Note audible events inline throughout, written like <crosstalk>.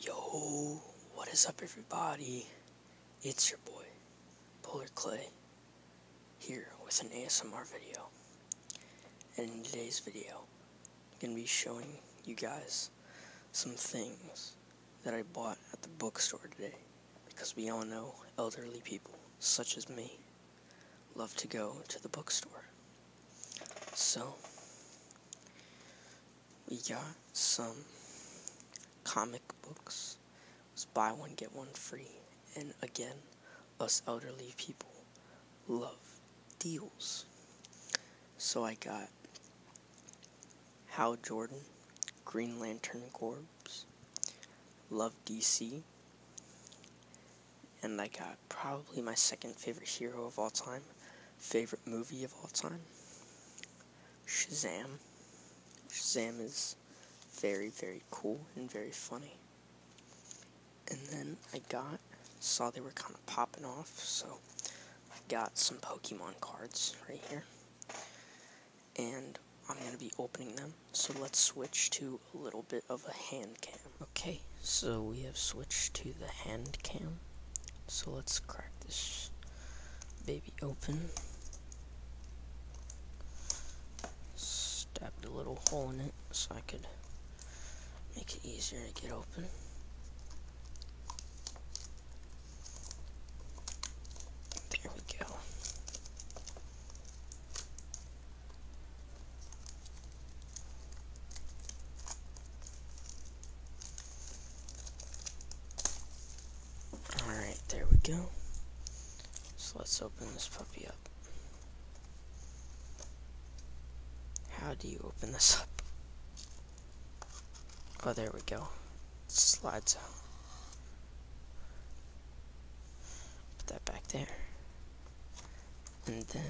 Yo, what is up, everybody? It's your boy, Polar Clay, here with an ASMR video. And in today's video, I'm going to be showing you guys some things that I bought at the bookstore today. Because we all know elderly people, such as me, love to go to the bookstore. So, we got some comic books. buy one, get one free. And again, us elderly people love deals. So I got Hal Jordan, Green Lantern Corps, Love DC, and I got probably my second favorite hero of all time, favorite movie of all time. Shazam. Shazam is very, very cool and very funny. And then I got, saw they were kind of popping off, so I got some Pokemon cards right here. And I'm going to be opening them, so let's switch to a little bit of a hand cam. Okay, so we have switched to the hand cam. So let's crack this baby open. Stabbed a little hole in it so I could make it easier to get open. There we go. Alright, there we go. So let's open this puppy up. How do you open this up? Oh, there we go. slides Put that back there. And then,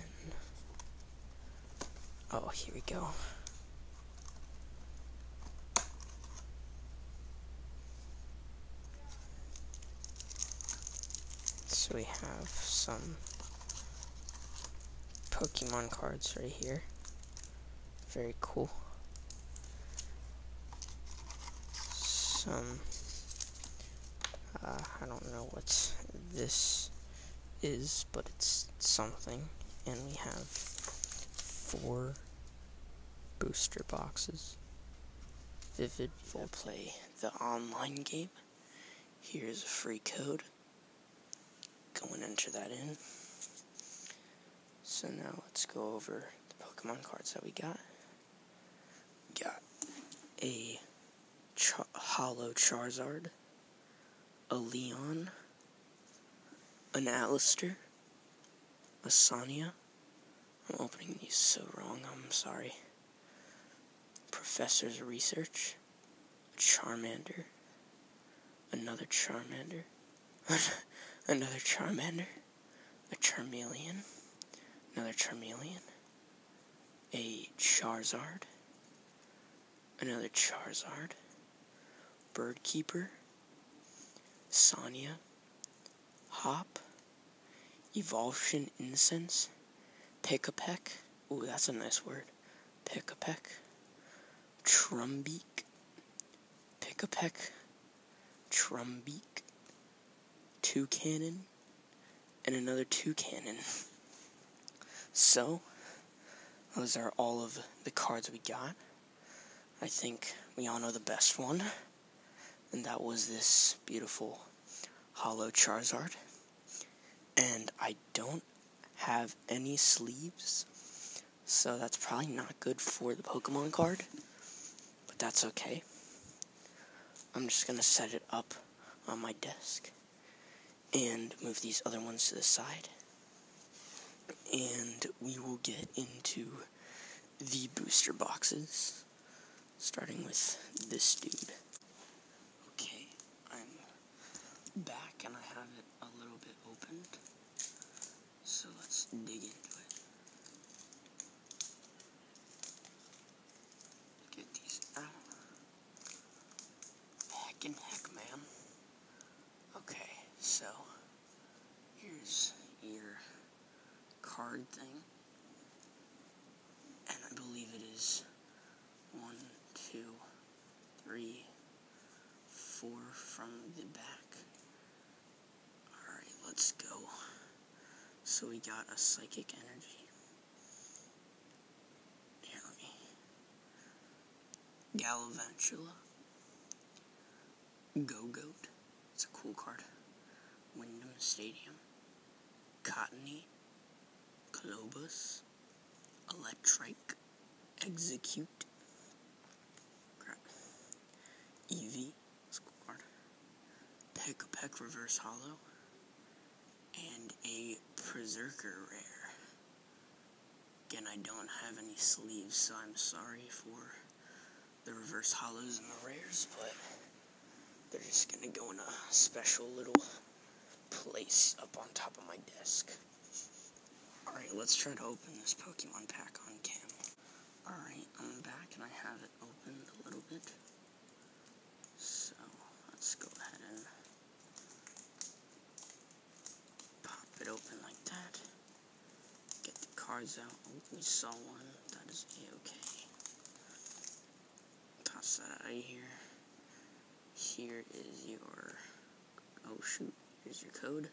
oh, here we go. So we have some Pokemon cards right here. Very cool. Some uh, I don't know what this is, but it's something. And we have four booster boxes. Vivid will play the online game. Here's a free code. Go and enter that in. So now let's go over the Pokemon cards that we got. Got a Ch- Hollow Charizard, a Leon, an Alistair, a Sonia. I'm opening these so wrong, I'm sorry. Professor's Research, Charmander, another Charmander, <laughs> another Charmander, a Charmeleon, another Charmeleon, a Charizard, another Charizard, Bird Keeper, Sonia, Hop, Evulsion Incense, Pick a Peck, ooh, that's a nice word, Pick a Peck, Trumbeak, Pick a Peck, Trumbeak, two cannon and another two cannon. So, those are all of the cards we got. I think we all know the best one, and that was this beautiful hollow Charizard. And I don't have any sleeves, so that's probably not good for the Pokemon card. But that's okay. I'm just going to set it up on my desk and move these other ones to the side. And we will get into the booster boxes, starting with this dude. Okay, I'm back and I have it a little bit opened. So let's dig into it. Get these out. Heck and heck, man. Okay, so here's your card thing. And I believe it is one, two, three, four from the back. Alright, let's go. So we got a psychic energy. Here, let me. Galavantula. Go Goat. It's a cool card. Wyndham Stadium. Cottony. Colobus. Electric. Execute. Crap. Eevee school card. The Reverse Hollow. And a Berserker Rare. Again, I don't have any sleeves, so I'm sorry for the Reverse Hollows and the Rares, but they're just going to go in a special little place up on top of my desk. Alright, let's try to open this Pokemon pack on camera. Alright, I'm back and I have it. Open it a little bit. So let's go ahead and pop it open like that. Get the cards out. Oh, we saw one. That a-okay. Toss that out of here. Here is your... Oh shoot, here's your code.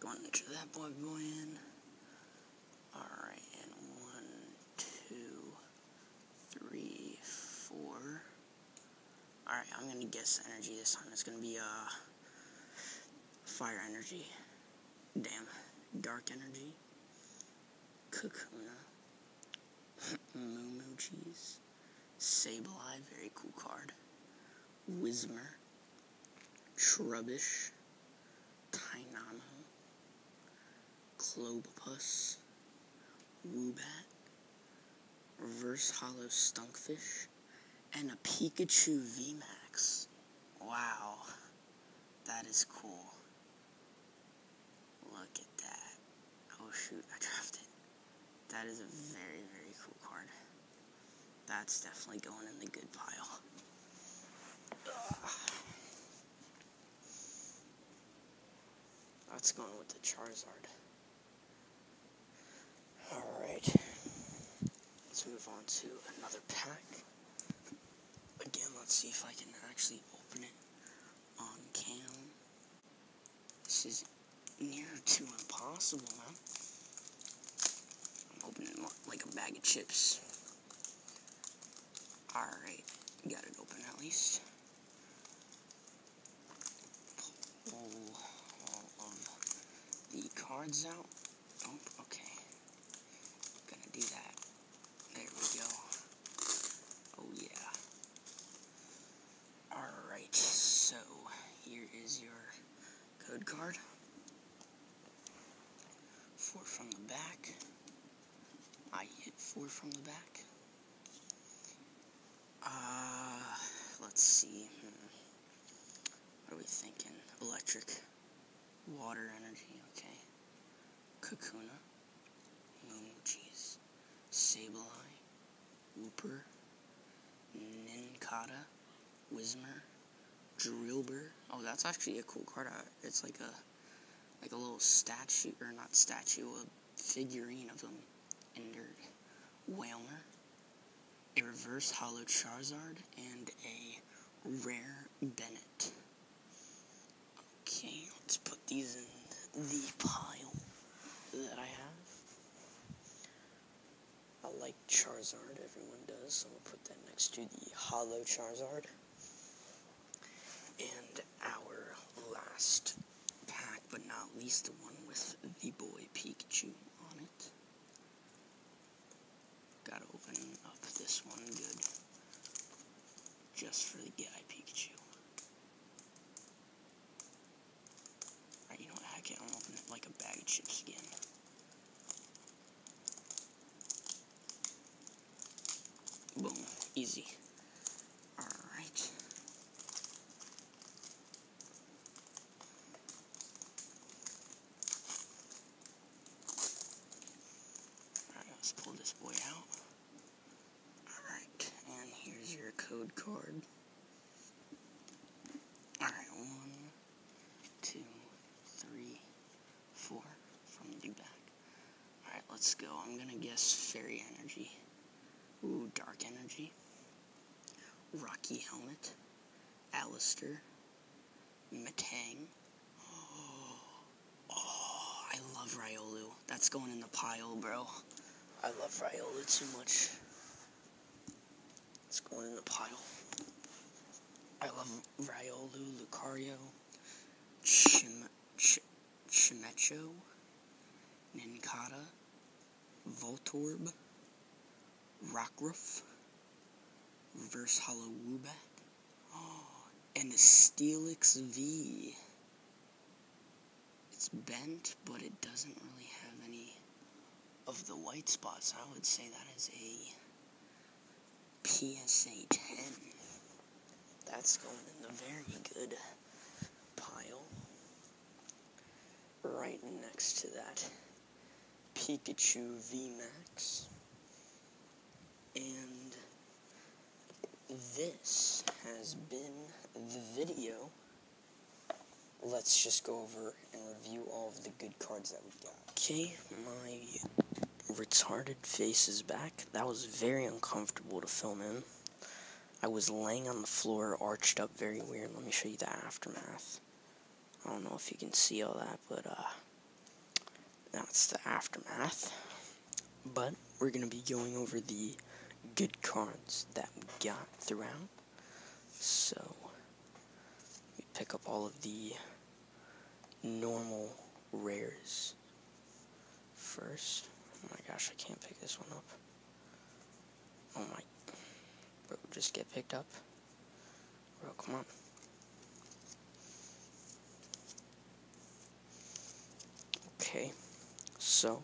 Going to that boy boy in. Alright, and one, two, three, four. Alright, I'm gonna guess energy this time. It's gonna be a uh, fire energy. Damn. Dark energy. Kakuna. Moo Moo Cheese. Sableye, very cool card. Wismer, Trubbish, Tynamo, Clobopus, Wubat, Reverse Hollow Stunkfish, and a Pikachu V Max. Wow, that is cool. Look at that. Oh shoot, I dropped it. That is a very, very cool card. That's definitely going in the good pile. That's going with the Charizard. Alright. Let's move on to another pack. Again, let's see if I can actually open it on cam. This is near to impossible, man opening like a bag of chips. Alright, got it open at least. Pull all of the cards out. Oh, okay. Gonna do that. There we go. Oh yeah. Alright, so here is your Code card. Four from the back. I hit four from the back. Uh, let's see. Hmm. What are we thinking? Electric. Water energy, okay. Kakuna. Moon cheese. Sableye. Whooper, Ninkata, Wismer, Drillbur. Oh, that's actually a cool card. Uh, it's like a like a little statue, or not statue, a figurine of him. Ender, Whalmer, a reverse hollow Charizard, and a rare Bennett. Okay, let's put these in the pile that I have. I like Charizard, everyone does, so I'm gonna put that next to the Hollow Charizard. And our last pack, but not least, the one with the boy Pikachu on it. Gotta open up this one good. Just for the guy Pikachu you know what? I can open it like a bag of chips again. Boom. Easy. Alright. Alright, let's pull this boy out. Alright, and here's your code card. Alright, one, two, three, four from the back. Alright, let's go. I'm gonna guess fairy energy. Ooh, dark energy. Rocky helmet. Alister. Matang. Oh, <gasps> oh, I love Ryolu. That's going in the pile, bro. I love Ryolu too much. It's going in the pile. I love Riolu, Lucario, Chim Chimecho, Ninkata, Voltorb, Rockruff, Reverse Hollow Woobat, <gasps> and the Steelix V. It's bent, but it doesn't really have any of the white spots. I would say that is a PSA 10. That's going in the very good pile. Right next to that Pikachu VMAX. And this has been the video let's just go over and review all of the good cards that we got. Okay, my retarded face is back. That was very uncomfortable to film in. I was laying on the floor, arched up very weird. Let me show you the aftermath. I don't know if you can see all that, but uh, that's the aftermath. But we're going to be going over the good cards that we got throughout. So, we pick up all of the normal rares first. Oh my gosh, I can't pick this one up. Oh my. Bro, just get picked up. Bro, come on. Okay, so,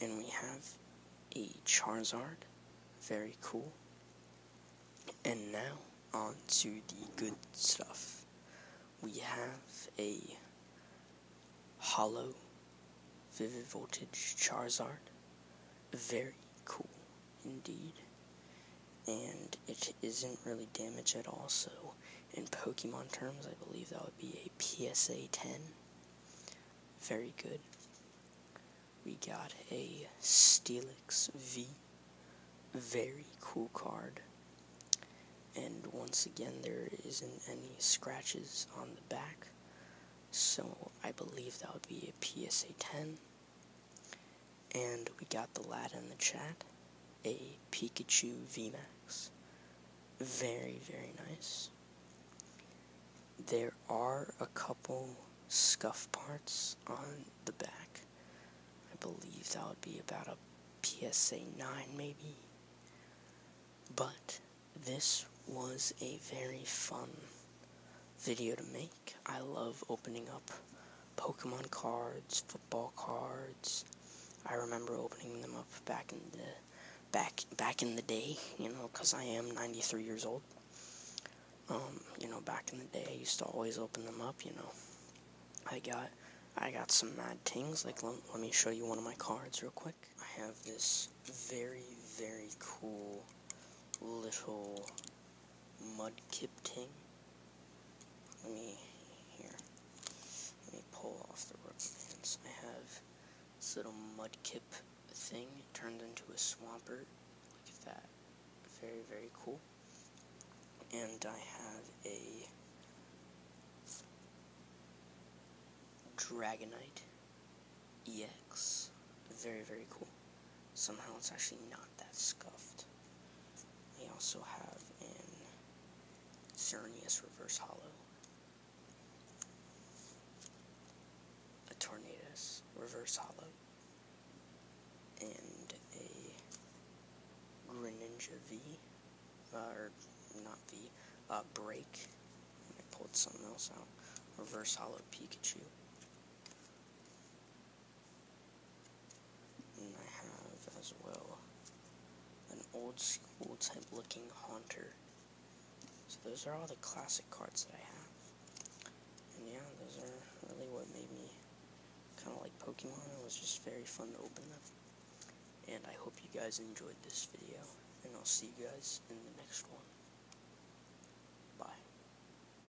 and we have a Charizard, very cool. And now, on to the good stuff. We have a hollow vivid voltage Charizard, very cool indeed and it isn't really damaged at all, so in Pokemon terms, I believe that would be a PSA 10. Very good. We got a Steelix V. Very cool card. And once again, there isn't any scratches on the back, so I believe that would be a PSA 10. And we got the lad in the chat, a Pikachu VMAX. Very, very nice. There are a couple scuff parts on the back. I believe that would be about a PSA 9 maybe. But this was a very fun video to make. I love opening up Pokemon cards, football cards. I remember opening them up back in the back back in the day, you know, because I am 93 years old. Um, you know, back in the day, I used to always open them up. You know, I got I got some mad things. Like, let, let me show you one of my cards real quick. I have this very very cool little mudkip thing let me, here, let me pull off the rook since I have this little mudkip thing turned into a swampert. Look at that. Very, very cool. And I have a Dragonite EX. Very, very cool somehow it's actually not that scuffed. We also have an Xerneas Reverse Hollow, a Tornadus Reverse Hollow, and a Greninja V, uh, or not V, uh, Break. I pulled something else out. Reverse Hollow Pikachu. And I have as well an old school type looking haunter. So those are all the classic cards that I have. And yeah, those are really what made me kind of like Pokemon. It was just very fun to open them. And I hope you guys enjoyed this video. And I'll see you guys in the next one. Bye.